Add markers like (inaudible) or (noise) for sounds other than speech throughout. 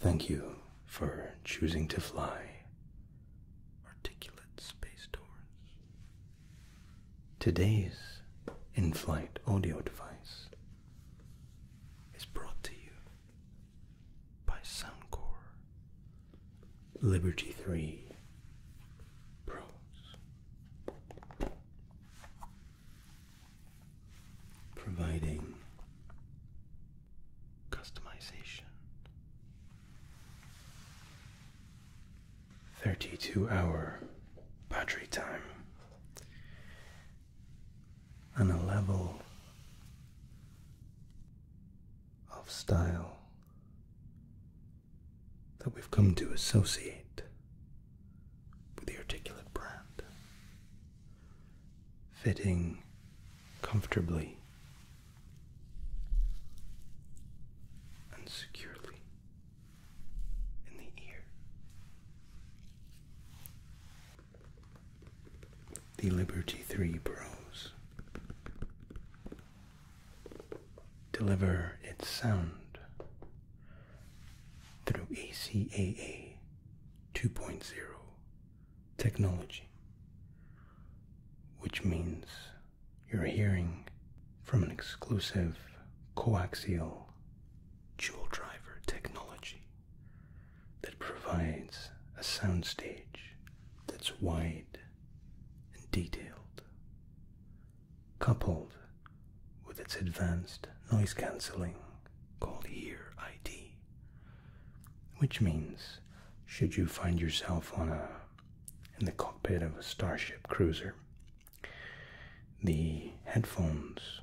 Thank you for choosing to fly. Articulate space doors. Today's in flight audio device is brought to you by Soundcore Liberty 3 Pros. Providing customization. 32 hour battery time on a level of style that we've come to associate with the articulate brand, fitting comfortably and securely in the ear. The Liberty 3 Pros deliver its sound through ACAA 2.0 technology, which means you're hearing from an exclusive coaxial jewel driver technology that provides a soundstage that's wide and detailed, coupled with its advanced noise cancelling called Ear ID, which means should you find yourself on a in the cockpit of a starship cruiser, the headphones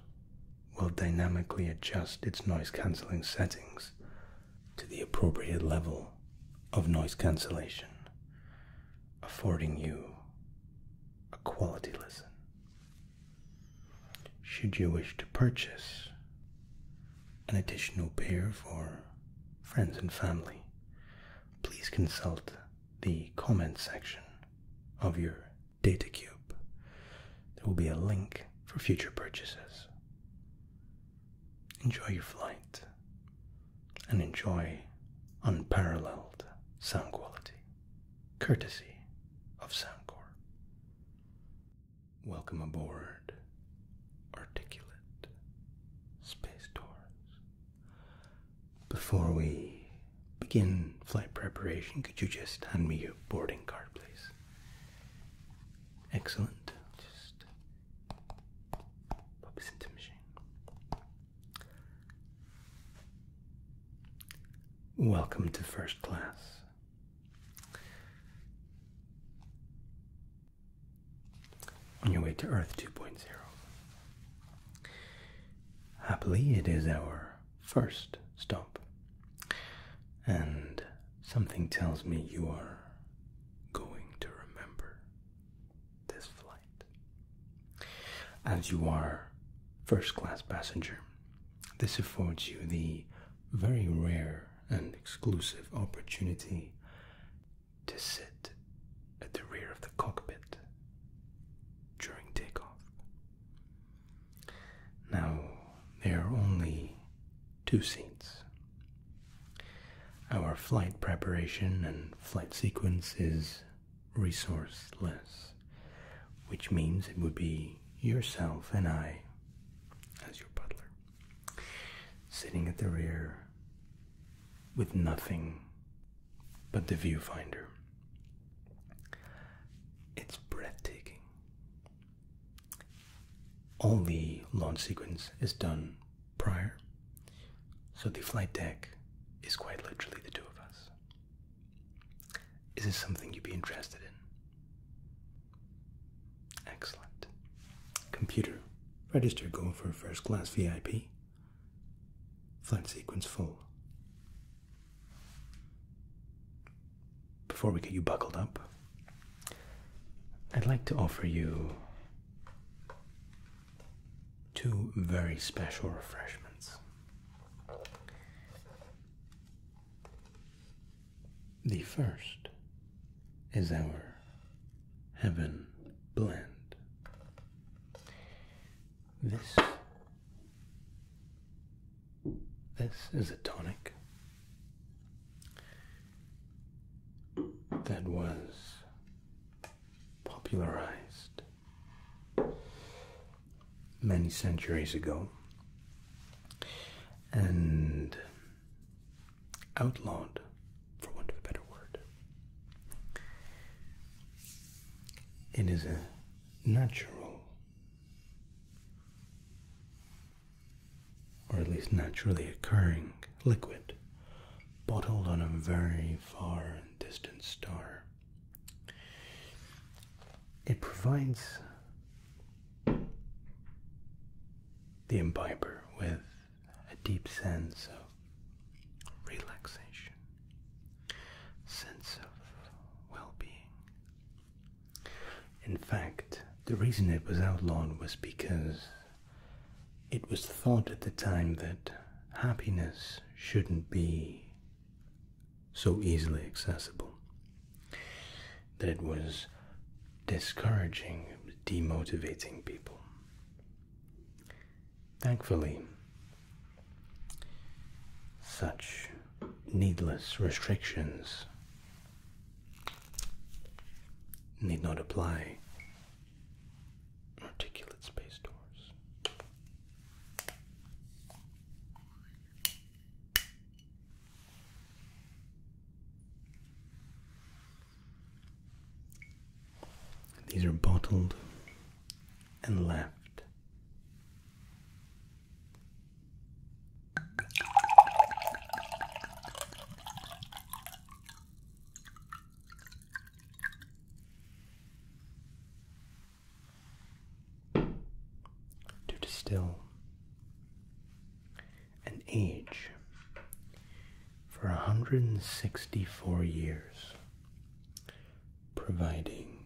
will dynamically adjust its noise cancelling settings to the appropriate level of noise cancellation, affording you a quality listen. Should you wish to purchase an additional pair for friends and family, please consult the comments section of your DataCube. There will be a link for future purchases. Enjoy your flight and enjoy unparalleled sound quality, courtesy of Soundcore. Welcome aboard Articulate Space Tours. Before we begin flight preparation, could you just hand me your boarding card, please? Excellent. Puppies into machine. Welcome to first class. On your way to Earth 2.0. Happily, it is our first stop, and something tells me you are going to remember this flight. As you are first class passenger, this affords you the very rare and exclusive opportunity to sit at the rear of the cockpit during takeoff. Now, there are only two seats our flight preparation and flight sequence is resourceless, which means it would be yourself and I, as your butler, sitting at the rear with nothing but the viewfinder. It's breathtaking. All the launch sequence is done prior. So the flight deck is quite literally the two of us. Is this something you'd be interested in? Excellent. Computer, register going for first class VIP. Flight sequence full. Before we get you buckled up, I'd like to offer you Two very special refreshments. The first is our Heaven Blend. This this is a tonic that was popularized many centuries ago and outlawed, for want of a better word. It is a natural or at least naturally occurring, liquid bottled on a very far and distant star. It provides the imbiber with a deep sense of relaxation, sense of well-being. In fact, the reason it was outlawed was because it was thought at the time that happiness shouldn't be so easily accessible, that it was discouraging, demotivating people. Thankfully, such needless restrictions need not apply articulate space doors. These are bottled and left. To distill an age for 164 years, providing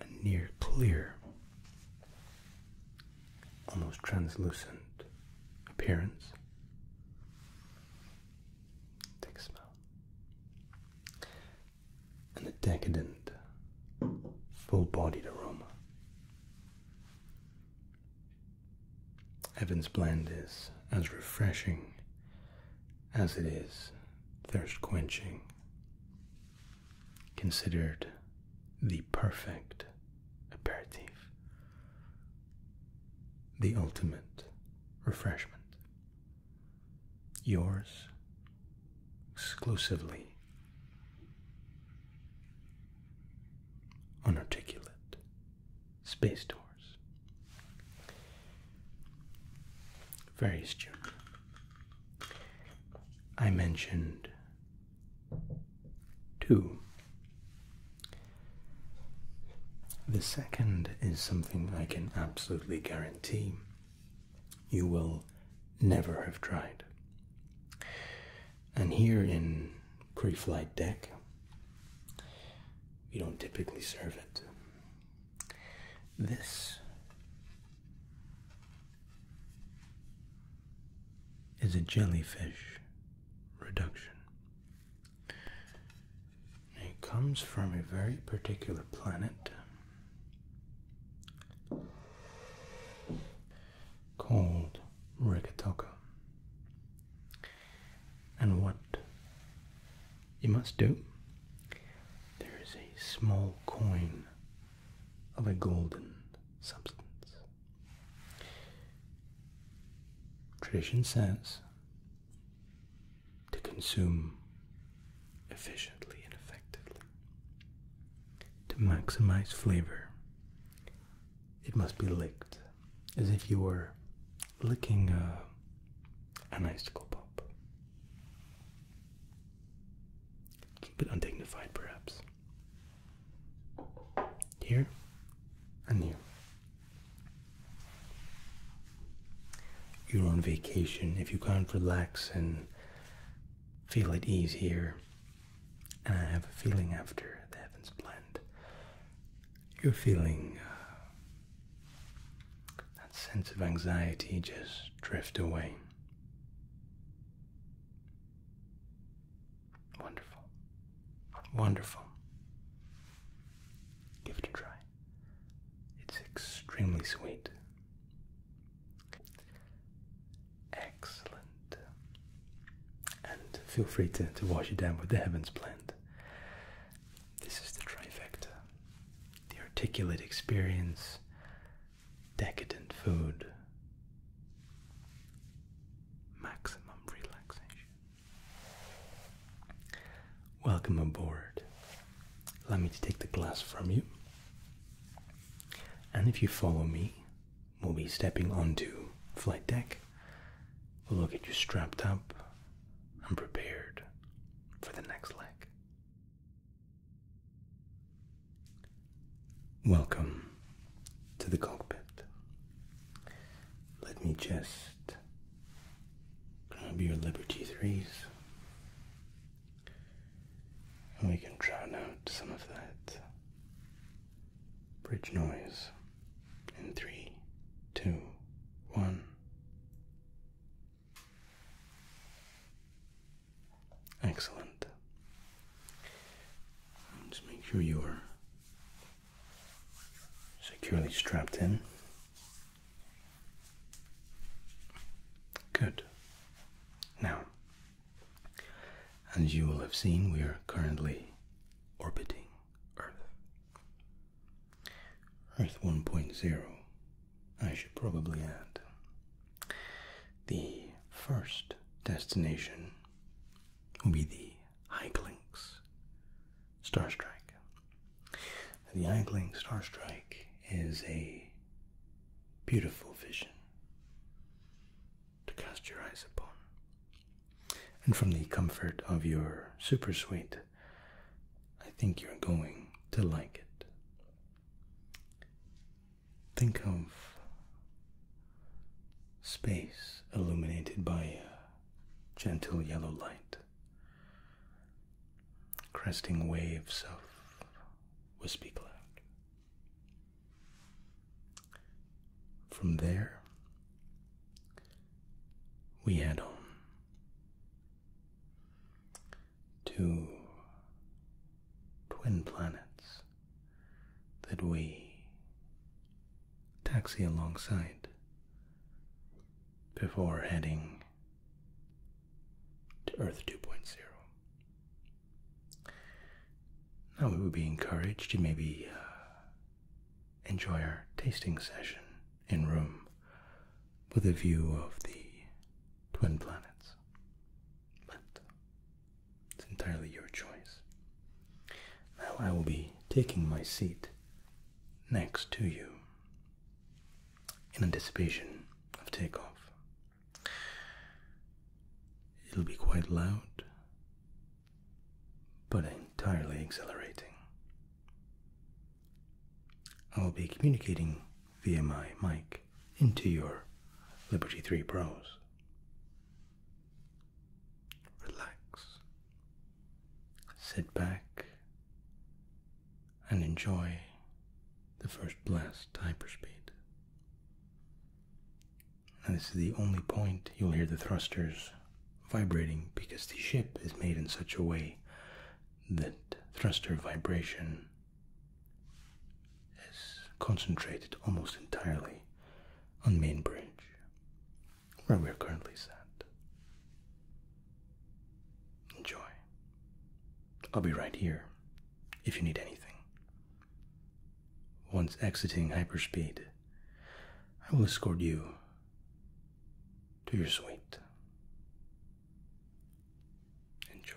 a near clear almost translucent appearance. Take a smell. And a decadent, full bodied aroma. Evans Blend is as refreshing as it is thirst quenching, considered the perfect aperitif, the ultimate refreshment. Yours exclusively unarticulate space doors. Very strange. I mentioned 2. The second is something I can absolutely guarantee you will never have tried. And here in pre flight deck, we don't typically serve it. This is a jellyfish reduction. It comes from a very particular planet called Rikatoka. And what you must do, there is a small coin of a golden substance. Tradition says to consume efficiently and effectively. To maximize flavor, it must be licked as if you were licking a, an icicle pop. A bit undignified, perhaps. Here and here. You're on vacation. If you can't relax and feel at ease here, and I have a feeling after the heavens blend, you're feeling uh, that sense of anxiety just drift away. Wonderful. Wonderful. Give it a try. It's extremely sweet. Excellent. And feel free to, to wash it down with the Heavens blend. This is the trifecta the articulate experience, decadent food, maximum relaxation. Welcome aboard. Allow me to take the glass from you. And if you follow me, we'll be stepping onto flight deck. We'll get you strapped up and prepared for the next leg. Welcome to the cockpit. Let me just grab your Liberty 3s and we can drown out some of that bridge noise in three, two, one. Excellent. Just make sure you are securely strapped in. Good. Now, as you will have seen, we are currently orbiting Earth. Earth 1.0, I should probably add. The first destination will be the Eyglinks Starstrike. The Eygling Starstrike is a beautiful vision to cast your eyes upon. And from the comfort of your super suite, I think you're going to like it. Think of space illuminated by gentle yellow light, cresting waves of wispy cloud. From there, we head on to twin planets that we taxi alongside before heading to Earth 2.0. Now we would be encouraged to maybe uh, enjoy our tasting session in room with a view of the twin planets. But it's entirely your choice. Now I will be taking my seat next to you in anticipation of takeoff. It'll be quite loud, but entirely exhilarating. I'll be communicating via my mic into your Liberty 3 Pros relax, sit back, and enjoy the first blast hyperspeed. And this is the only point you'll hear the thrusters vibrating because the ship is made in such a way that thruster vibration is concentrated almost entirely on main bridge where we're currently sat. Enjoy. I'll be right here if you need anything. Once exiting hyperspeed, I will escort you to your suite. Enjoy.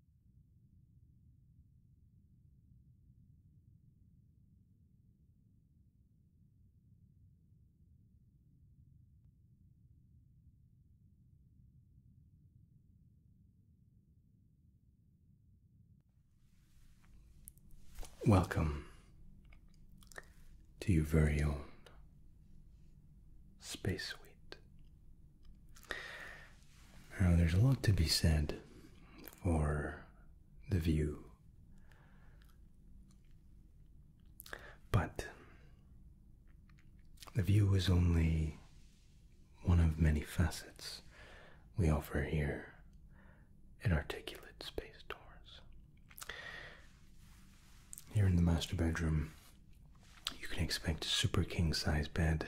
Welcome to your very own space suite now, there's a lot to be said for the view, but the view is only one of many facets we offer here at Articulate Space Tours. Here in the master bedroom, you can expect a super king size bed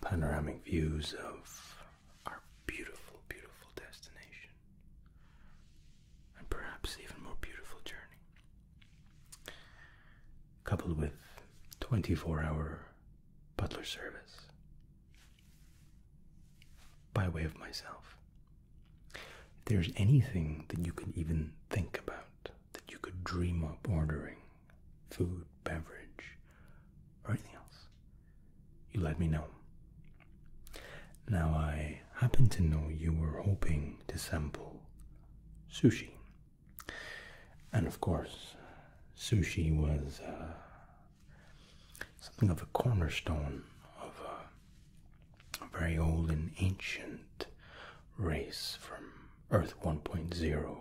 panoramic views of our beautiful, beautiful destination. And perhaps even more beautiful journey. Coupled with 24 hour butler service by way of myself. If there's anything that you can even think about, that you could dream up ordering food, beverage, or anything else. You let me know. Now, I happen to know you were hoping to sample sushi. And of course, sushi was uh, something of a cornerstone of a, a very old and ancient race from Earth 1.0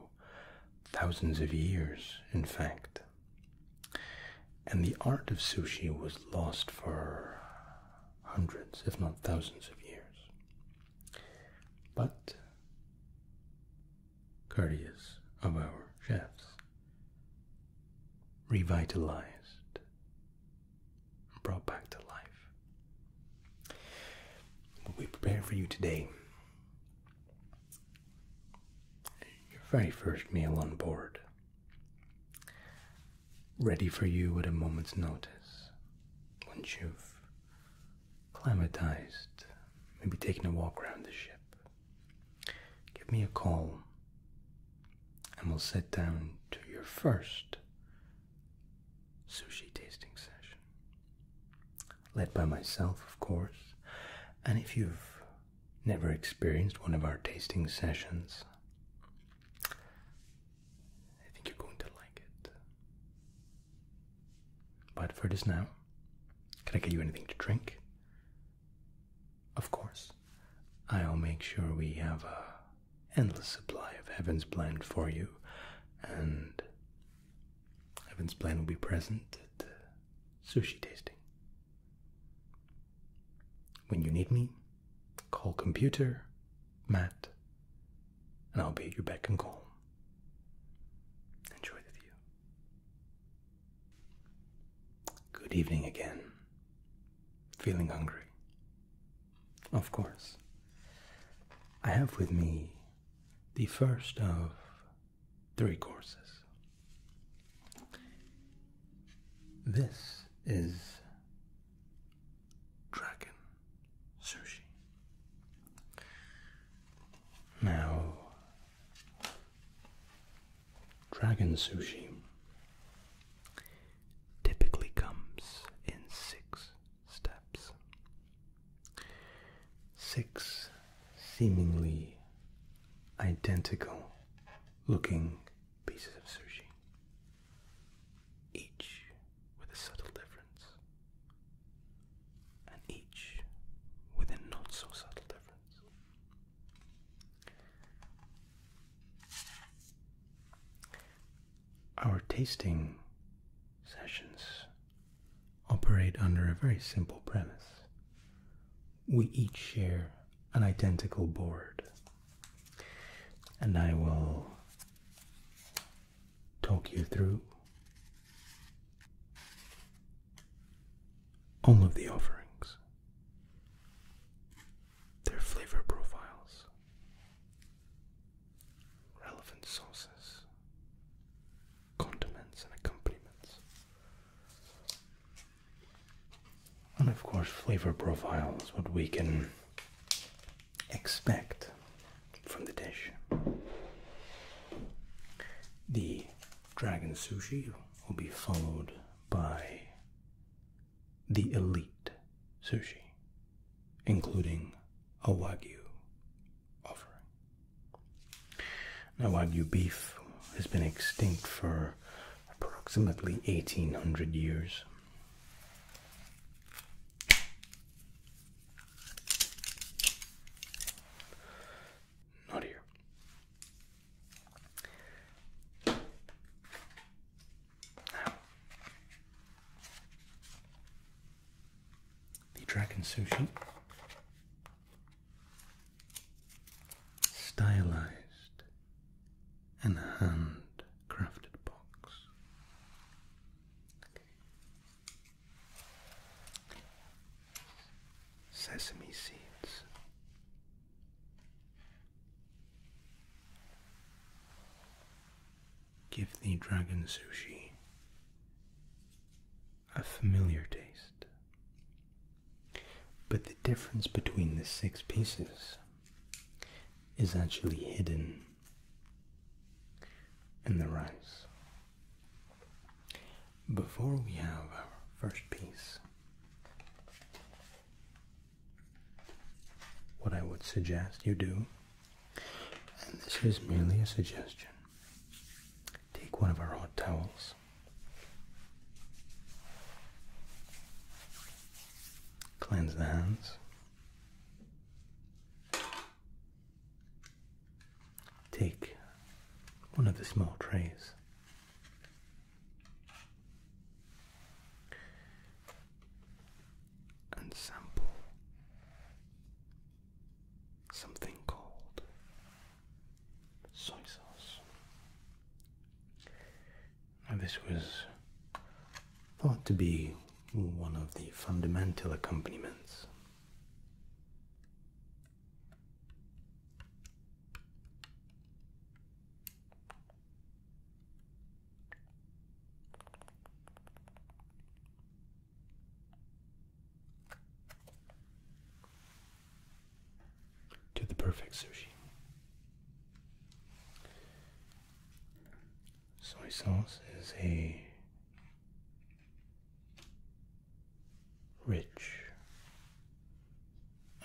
thousands of years, in fact. And the art of sushi was lost for hundreds, if not thousands of years. But courteous of our chefs, revitalized, and brought back to life. What we prepare for you today your very first meal on board. Ready for you at a moment's notice. Once you've acclimatized, maybe taking a walk around the ship, give me a call and we'll sit down to your first sushi tasting session. Led by myself, of course. And if you've never experienced one of our tasting sessions, I think you're going to like it. But for just now, can I get you anything to drink? Of course. I'll make sure we have an endless supply of heaven's blend for you and Evan's plan will be present at the uh, sushi tasting. When you need me, call computer, Matt, and I'll be at your beck and call. Enjoy the view. Good evening again. Feeling hungry? Of course. I have with me the first of three courses. This is Dragon Sushi. Now, Dragon Sushi typically comes in six steps. Six seemingly identical looking pieces of sushi, each with a subtle difference, and each with a not so subtle difference. Our tasting sessions operate under a very simple premise. We each share an identical board, and I will talk you through all of the offerings, their flavor profiles, relevant sauces, condiments, and accompaniments. And of course, flavor profiles. what we can expect from the dish. The dragon sushi will be followed by the elite sushi, including a wagyu now, while Wagyu beef has been extinct for approximately 1800 years, not here the Dragon Sushi. Stylized and handcrafted box. Sesame seeds give the dragon sushi a familiar taste. But the difference between the six pieces is actually hidden in the rice. Before we have our first piece, what I would suggest you do and this is merely a suggestion. Take one of our hot towels. Cleanse the hands. Take one of the small trays. And sample something called soy sauce. and this was thought to be one of the fundamental accompaniments to the perfect sushi. Soy sauce is a rich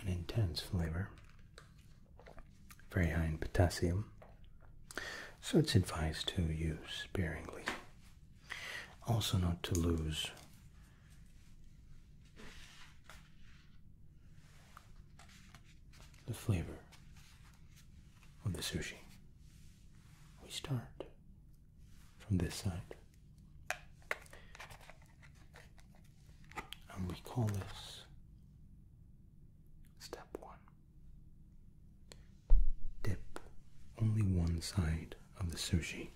an intense flavor, very high in potassium, so it's advised to use sparingly also, not to lose the flavor of the sushi, we start from this side. And we call this step one. Dip only one side of the sushi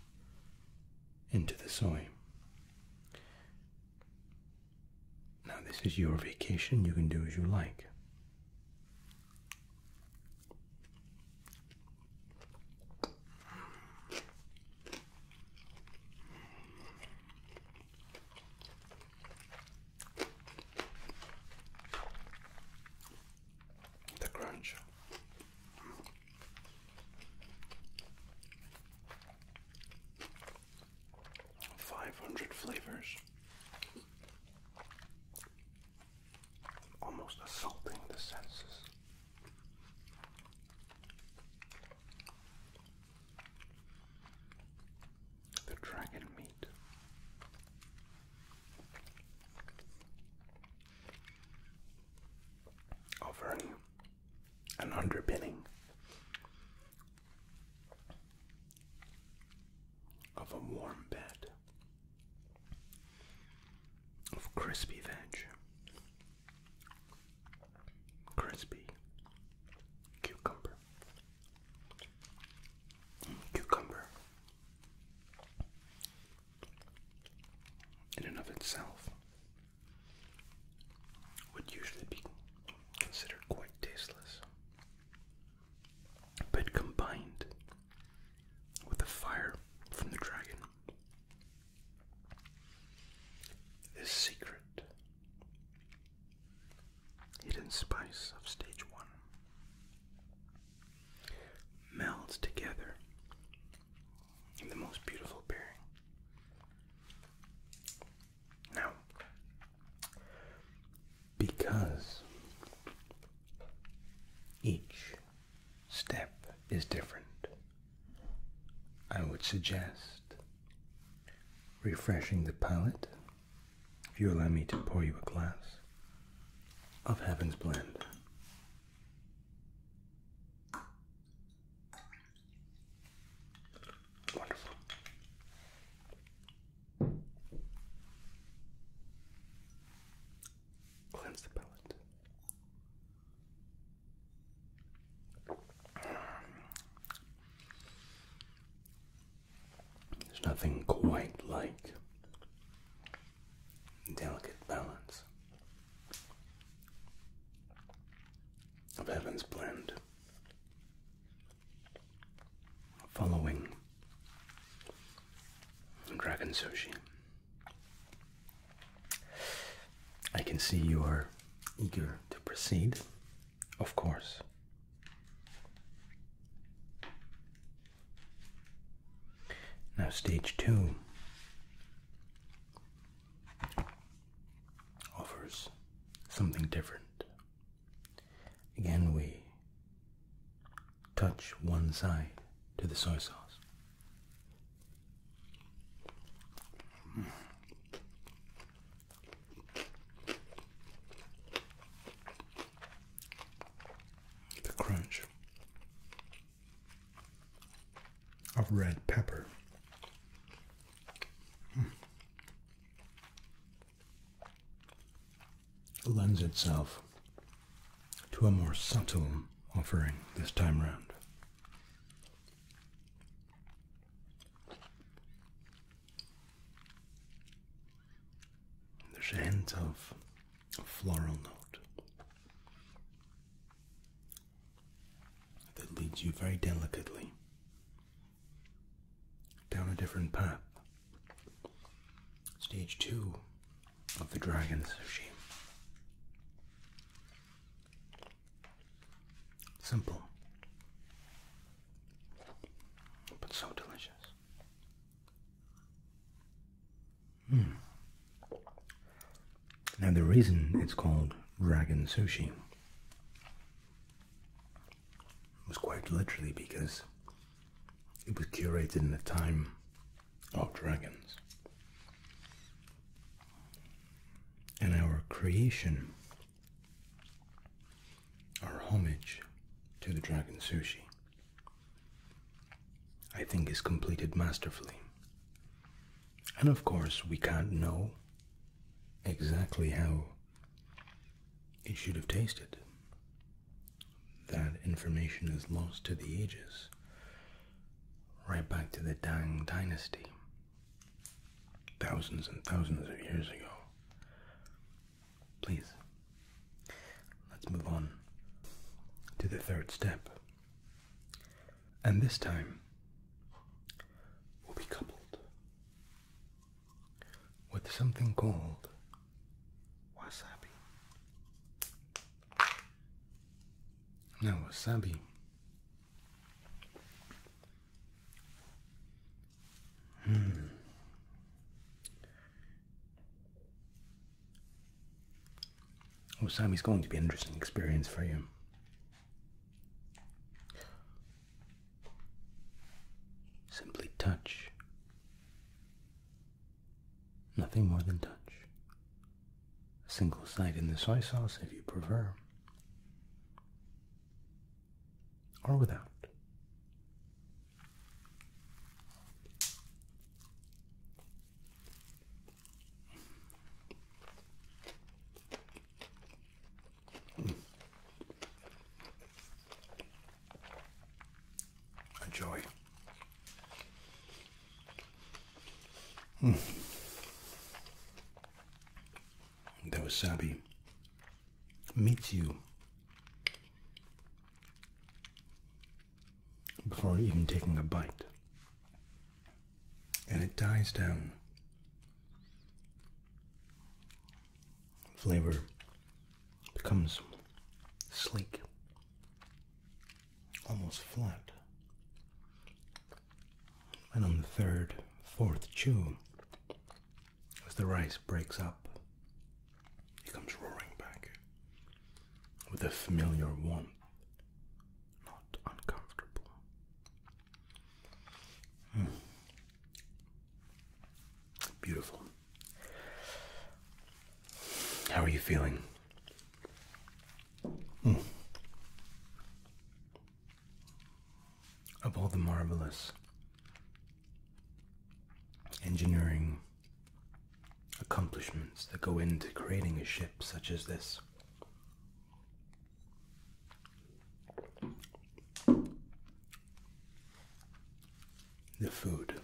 into the soy. Now, this is your vacation, you can do as you like the crunch. Five hundred flavors, almost assaulting the senses. The dragon meat of an underpinning of a warm bed of crispy veg, crispy cucumber, mm, cucumber in and of itself would usually be considered quite tasteless. But combined with the fire from the dragon, is secret hidden spice of stage one Melt together in the most beautiful pairing. Now, because each step is different, I would suggest refreshing the palate if you allow me to pour you a glass of Heaven's Blend. Wonderful. Cleanse the palate. There's nothing quite like delicate balance of heaven's blend, following dragon sushi. I can see you are eager to proceed, of course. Now, stage two offers something different. Again, we touch one side to the soy sauce the crunch of red pepper. Hmm. lends itself to a more subtle offering this time round. There's a hint of a floral note that leads you very delicately down a different path. Stage two of the dragon sushi. Simple, but so delicious. Hmm. Now, the reason it's called dragon sushi was quite literally because it was curated in the time of dragons. And our creation, our homage to the dragon sushi, I think is completed masterfully. And of course, we can't know exactly how it should have tasted. That information is lost to the ages, right back to the Tang Dynasty, thousands and thousands of years ago. Please Let's move on to the third step. And this time will be coupled with something called wasabi. Now, wasabi Hmm. Oh, Sammy's going to be an interesting experience for you. Simply touch. Nothing more than touch. A single side in the soy sauce if you prefer. Or without joy. Mm. The wasabi Meet you before even taking a bite. And it dies down. Flavor becomes sleek, almost flat. And on the third, fourth chew, as the rice breaks up he comes roaring back with a familiar warmth, not uncomfortable. Hmm. Beautiful. How are you feeling? Hmm. Of all the marvelous engineering accomplishments that go into creating a ship such as this. The food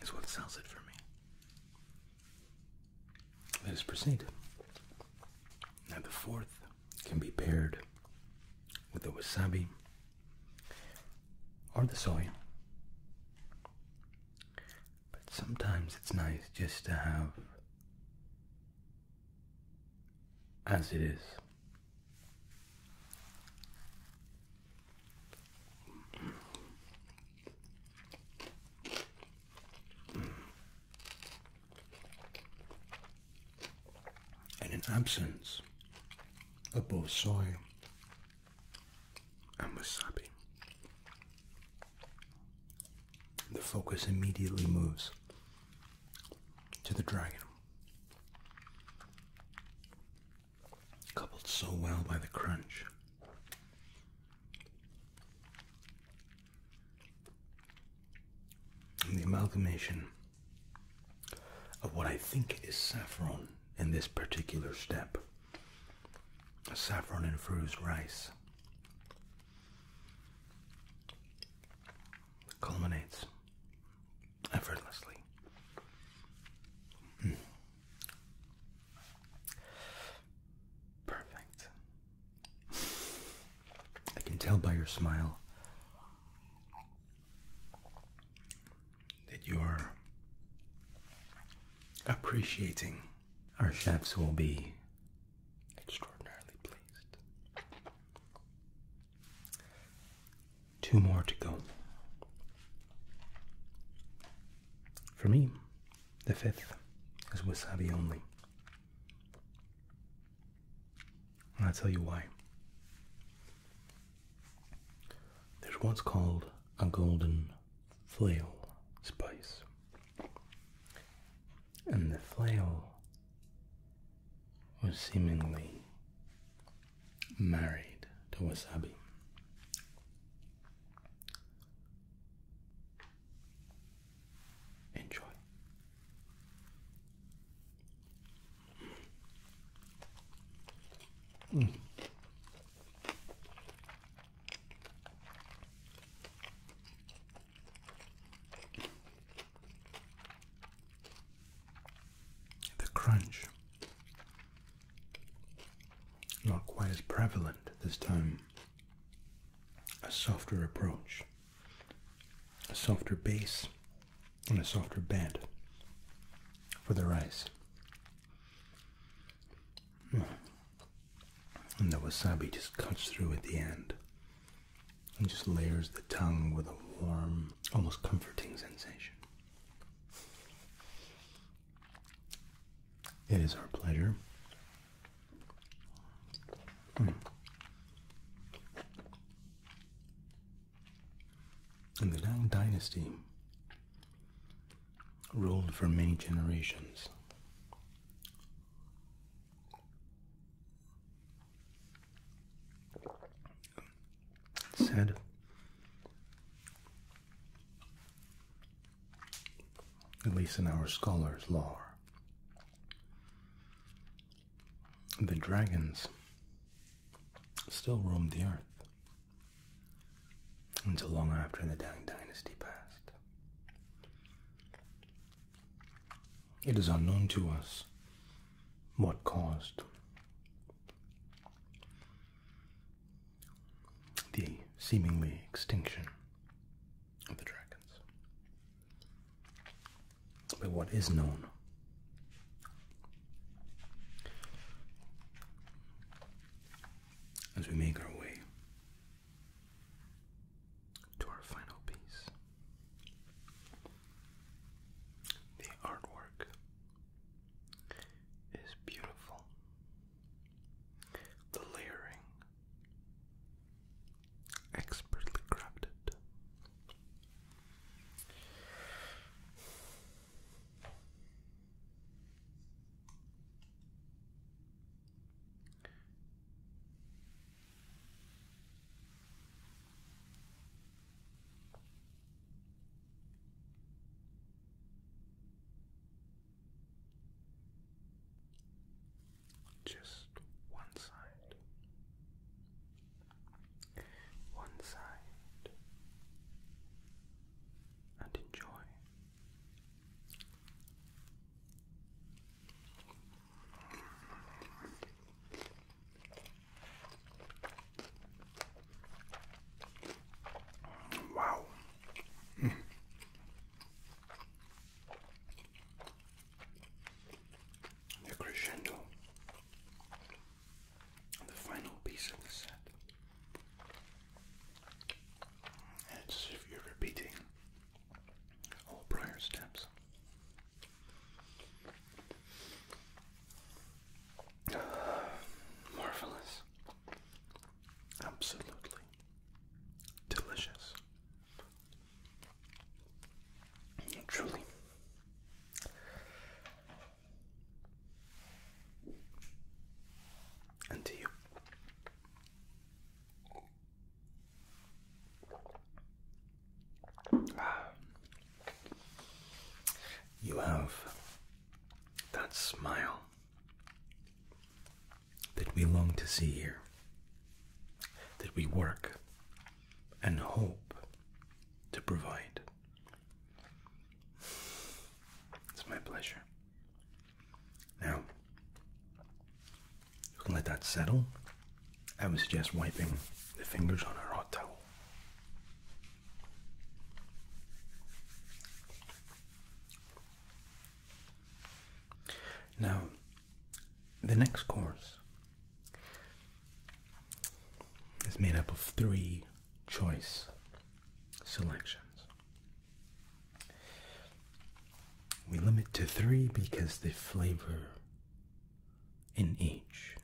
is what sells it for me. Let us proceed. Now, the fourth can be paired with the wasabi or the soy but sometimes it's nice just to have as it is. And in absence of both soy and wasabi. The focus immediately moves to the dragon. Coupled so well by the crunch. And the amalgamation of what I think is saffron in this particular step saffron infused rice culminates effortlessly. Hmm. Perfect. I can tell by your smile that you're appreciating. Our chefs will be extraordinarily pleased. Two more to go. For me, the fifth is wasabi only. And I'll tell you why. There's what's called a golden flail spice. And the flail was seemingly married to wasabi. Enjoy. Mm. The crunch not quite as prevalent this time. A softer approach, a softer base, and a softer bed for the rice. Hmm. And the wasabi just cuts through at the end and just layers the tongue with a warm, almost comforting sensation. It is our pleasure. Hmm. In the Tang Dynasty ruled for many generations. Said at least in our scholars' lore. The dragons still roam the earth until long after the Tang Dynasty passed. It is unknown to us what caused the seemingly extinction of the dragons. But what is known as we make our way to our final piece the artwork is beautiful the layering expertly crafted just one side, one side, and enjoy Wow. Mm. The crescendo, the final piece of the set it's as if you're repeating all prior steps. (sighs) marvelous. Absolutely delicious. Truly and to you. Ah. You have that smile that we long to see here, that we work and hope to provide. It's my pleasure. Now, you can let that settle. I would suggest wiping the fingers on a hot towel. Now, the next course is made up of three choice selections. We limit to three because the flavor in each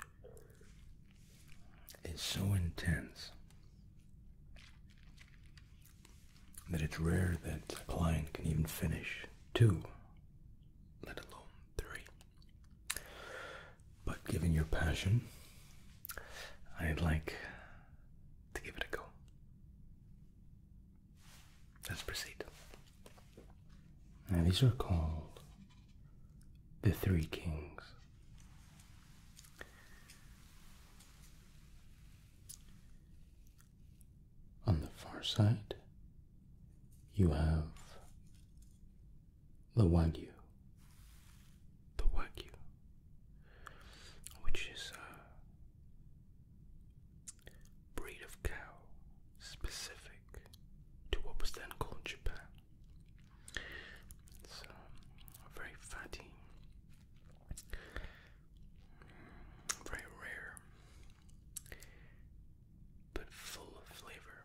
is so intense that it's rare that a client can even finish two, let alone three. But given your passion, I'd like to give it a go. Let's proceed. Now, these are called the Three Kings. On the far side, you have the Wagyu, the wagyu, which is a breed of cow specific to what was then called Japan. It's um, very fatty, very rare, but full of flavor.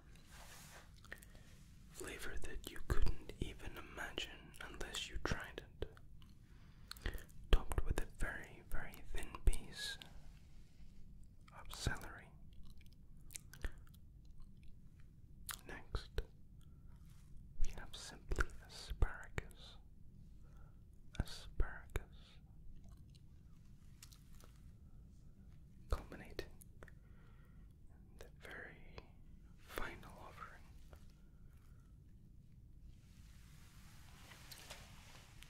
Flavor that you couldn't even imagine unless you tried it topped with a very, very thin piece of celery. Next, we have simply asparagus. Asparagus. Culminating the very final offering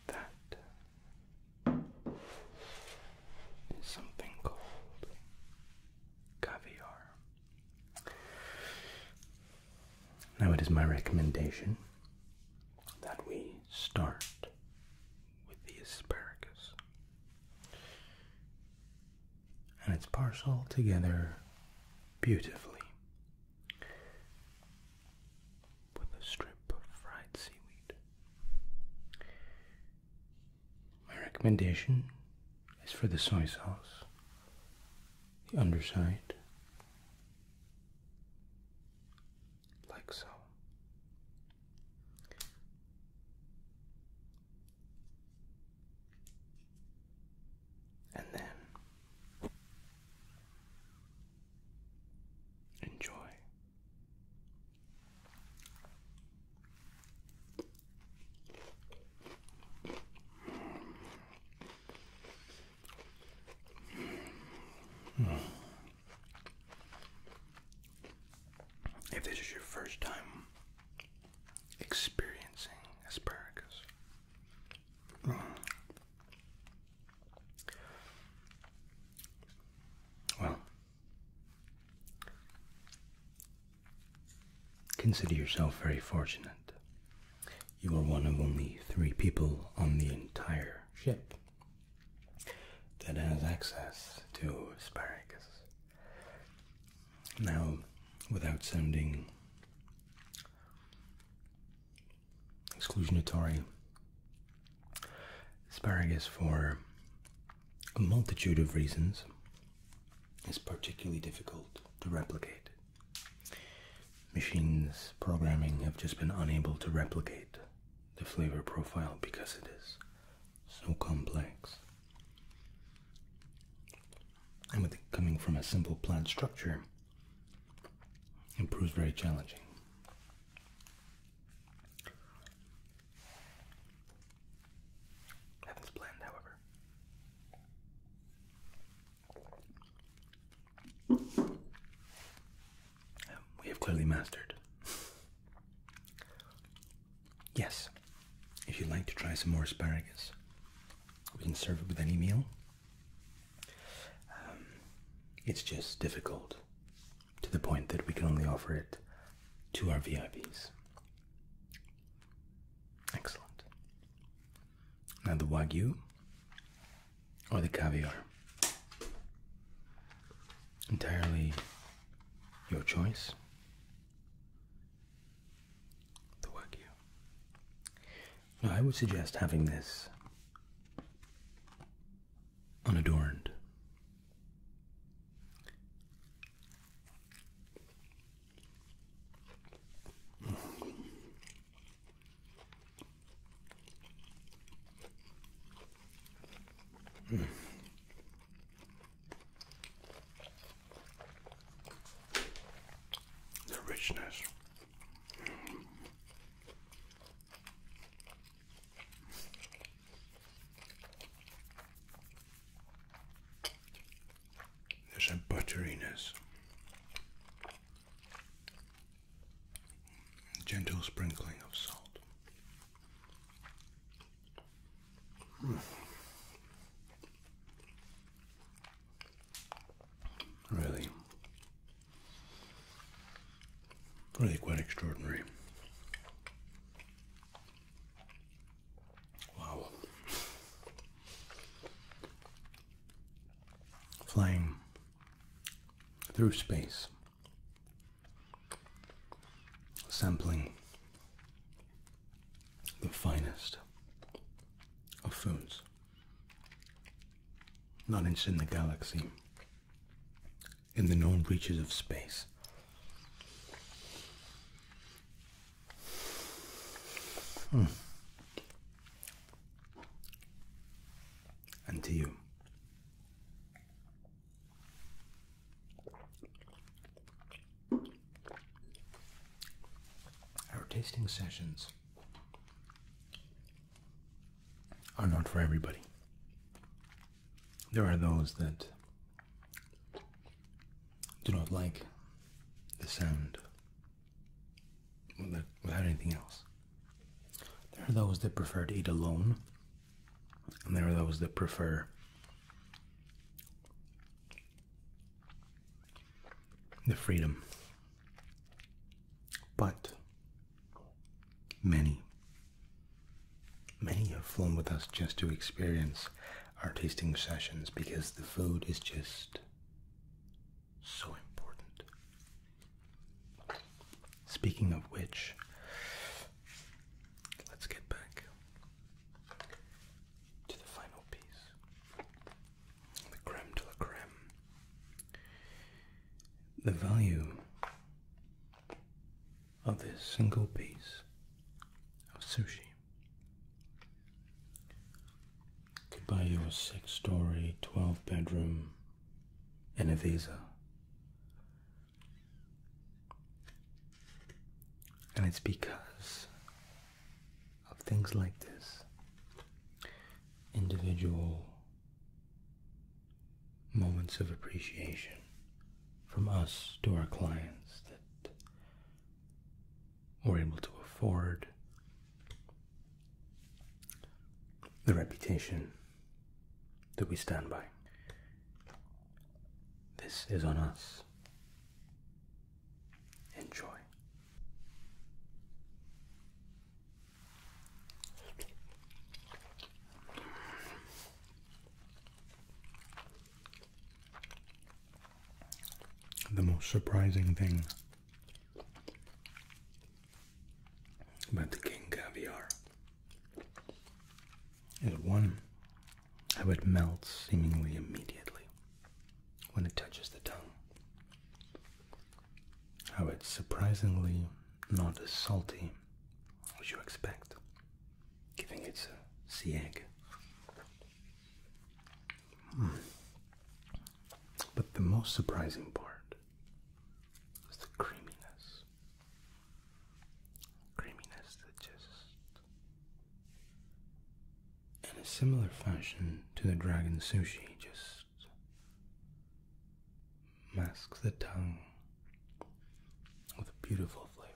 that is something called caviar. Now, it is my recommendation that we start with the asparagus and it's parceled together beautifully with a strip of fried seaweed. My recommendation is for the soy sauce, the underside, like so. And then enjoy. If this is your first time experiencing asparagus, well, consider yourself very fortunate. You are one of only three people on the entire ship that has access to asparagus. Now, without sounding exclusionatory, asparagus, for a multitude of reasons, is particularly difficult to replicate. Machines programming have just been unable to replicate the flavor profile because it is so complex and with coming from a simple plant structure, it proves very challenging. Heaven's blend, however. Um, we have clearly mastered. Yes, if you'd like to try some more asparagus, we can serve it with any meal. Um, it's just difficult to the point that we can only offer it to our VIPs. Excellent. Now the wagyu or the caviar. Entirely your choice the wagyu. Now, I would suggest having this unadorned the richness. There's a butteriness, gentle sprinkling of salt. Really, really quite extraordinary. Wow. Flying through space, sampling the finest of foods. Not just in the galaxy, in the known reaches of space. Hmm. And to you. Our tasting sessions are not for everybody. There are those that do not like the sound without anything else. There are those that prefer to eat alone, and there are those that prefer the freedom. But many, many have flown with us just to experience our tasting sessions because the food is just so important. Speaking of which, let's get back to the final piece the creme de la creme. The value of this single piece of sushi could buy you a six story, 12 bedroom, and a visa. And it's because of things like this individual moments of appreciation from us to our clients that we're able to afford the reputation that we stand by. This is on us. Enjoy. The most surprising thing about the king caviar is one how it melts seemingly immediately when it touches the tongue. How it's surprisingly not as salty as you expect, giving it a sea egg. Hmm. But the most surprising part is the creaminess. Creaminess that just in a similar fashion to the dragon sushi, just mask the tongue with a beautiful flavor.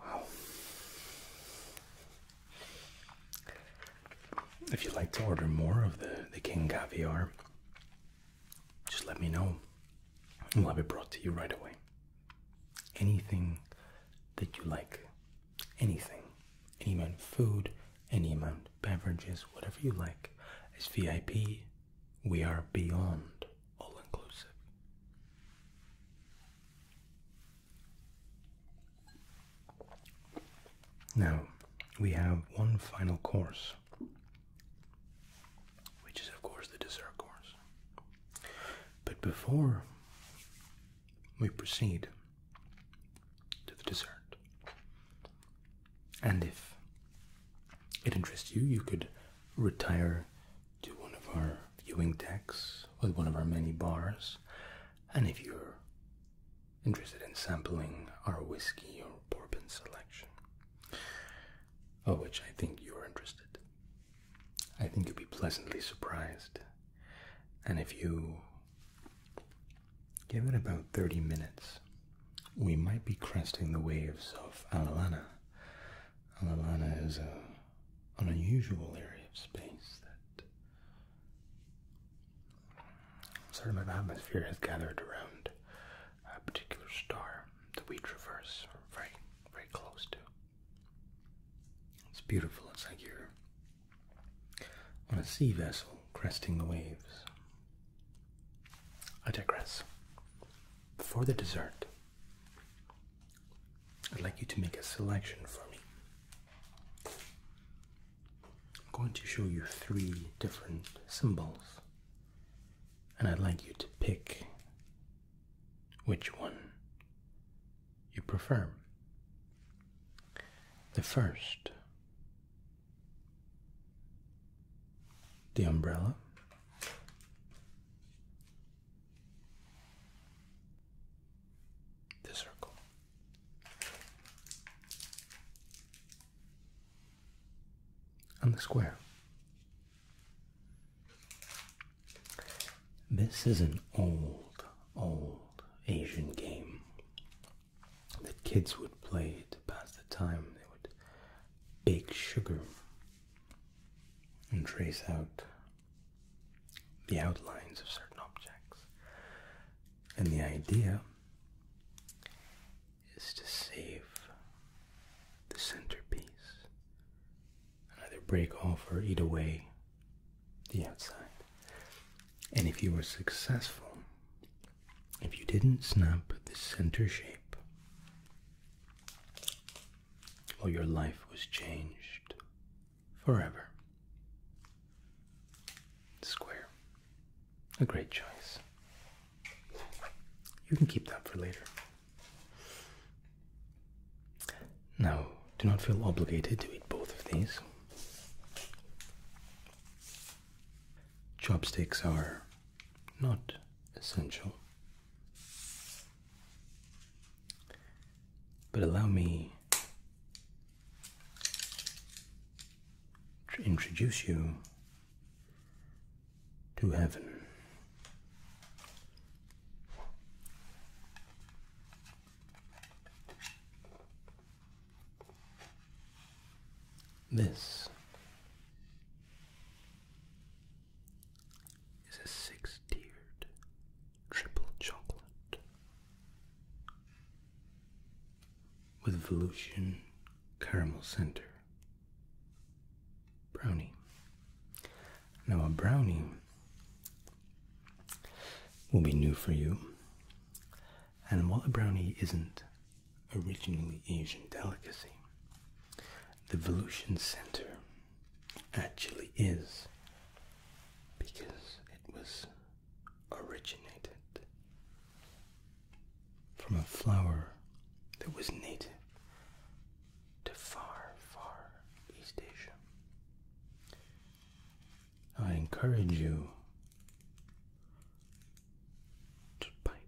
Wow. If you'd like to order more of the, the King Caviar, just let me know. and We'll have it brought to you right away. Anything that you like anything, any amount of food, any amount of beverages, whatever you like, As VIP. We are beyond all inclusive. Now, we have one final course, which is, of course, the dessert course. But before we proceed to the dessert. And if it interests you, you could retire to one of our viewing decks with one of our many bars. And if you're interested in sampling our whiskey or bourbon selection, of which I think you're interested, I think you'll be pleasantly surprised. And if you give it about 30 minutes, we might be cresting the waves of Alalana. Alalana is an unusual area of space that a certain amount of atmosphere has gathered around a particular star that we traverse, very, very close to. It's beautiful. It's like you're on a sea vessel cresting the waves. I digress. Before the dessert, I'd like you to make a selection for me. I'm going to show you three different symbols, and I'd like you to pick which one you prefer. The first, the umbrella. The circle. And the square. This is an old, old Asian game that kids would play to pass the time. They would bake sugar and trace out the outlines of certain objects. And the idea is to save the centerpiece either break off or eat away the outside. And if you were successful, if you didn't snap the center shape, well, your life was changed forever. Square. A great choice. You can keep that for later. Now, do not feel obligated to eat both of these. Chopsticks are not essential. But allow me to introduce you to heaven. This is a six tiered triple chocolate with Volusian caramel center brownie. Now, a brownie will be new for you. And while a brownie isn't originally Asian delicacy, the Volution Center actually is because it was originated from a flower that was native to far, far East Asia. I encourage you to bite.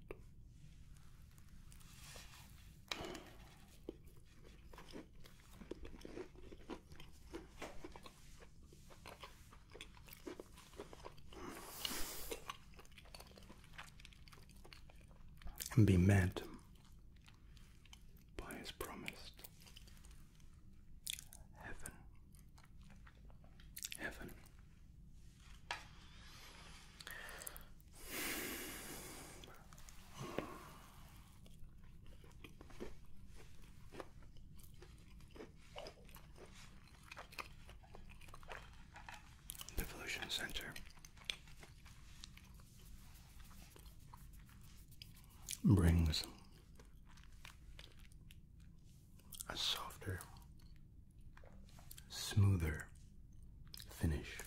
And be mad by his promised heaven. Heaven. Devolution Center brings a softer, smoother finish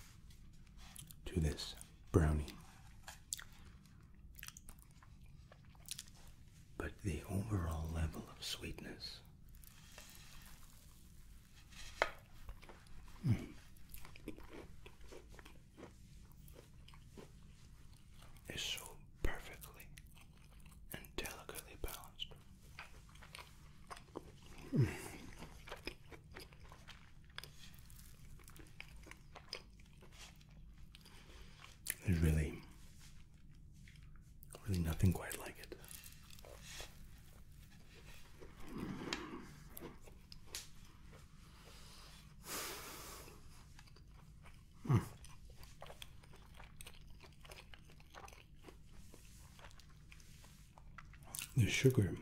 to this brownie. But the overall level of sweetness mm, is so perfectly and delicately balanced. There's really, really nothing quite like it. Hmm. The sugar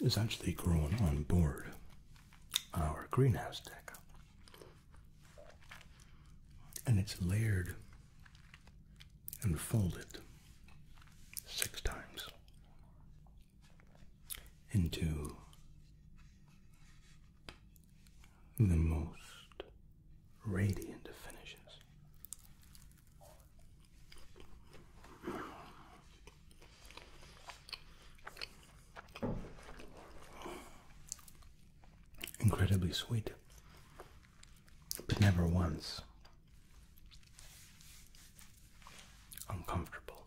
is actually grown on board our greenhouse deck, and it's layered and folded six times into the most radiant definitions. Incredibly sweet, but never once uncomfortable.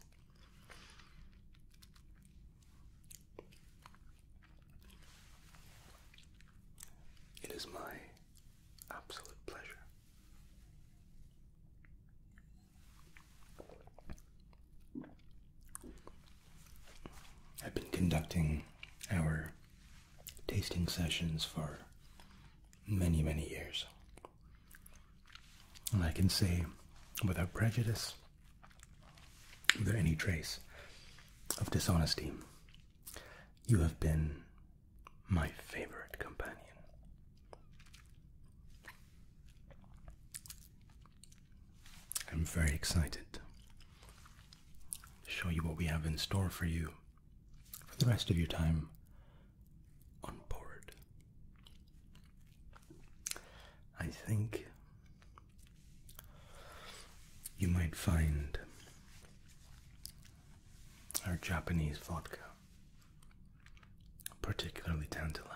It is my absolute pleasure. I've been conducting our tasting sessions for many, many years. And I can say without prejudice, there any trace of dishonesty, you have been my favorite companion. I'm very excited to show you what we have in store for you for the rest of your time on board. I think you might find our Japanese vodka particularly tantalizing.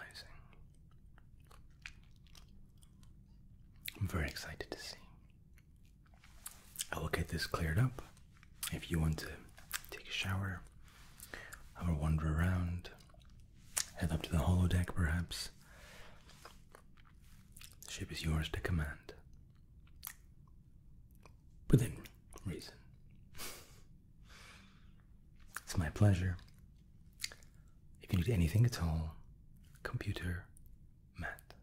I'm very excited to see. I will get this cleared up. If you want to take a shower, have a wander around, head up to the deck, perhaps. The ship is yours to command. Within reason. It's my pleasure. If you need anything at all, computer, Matt.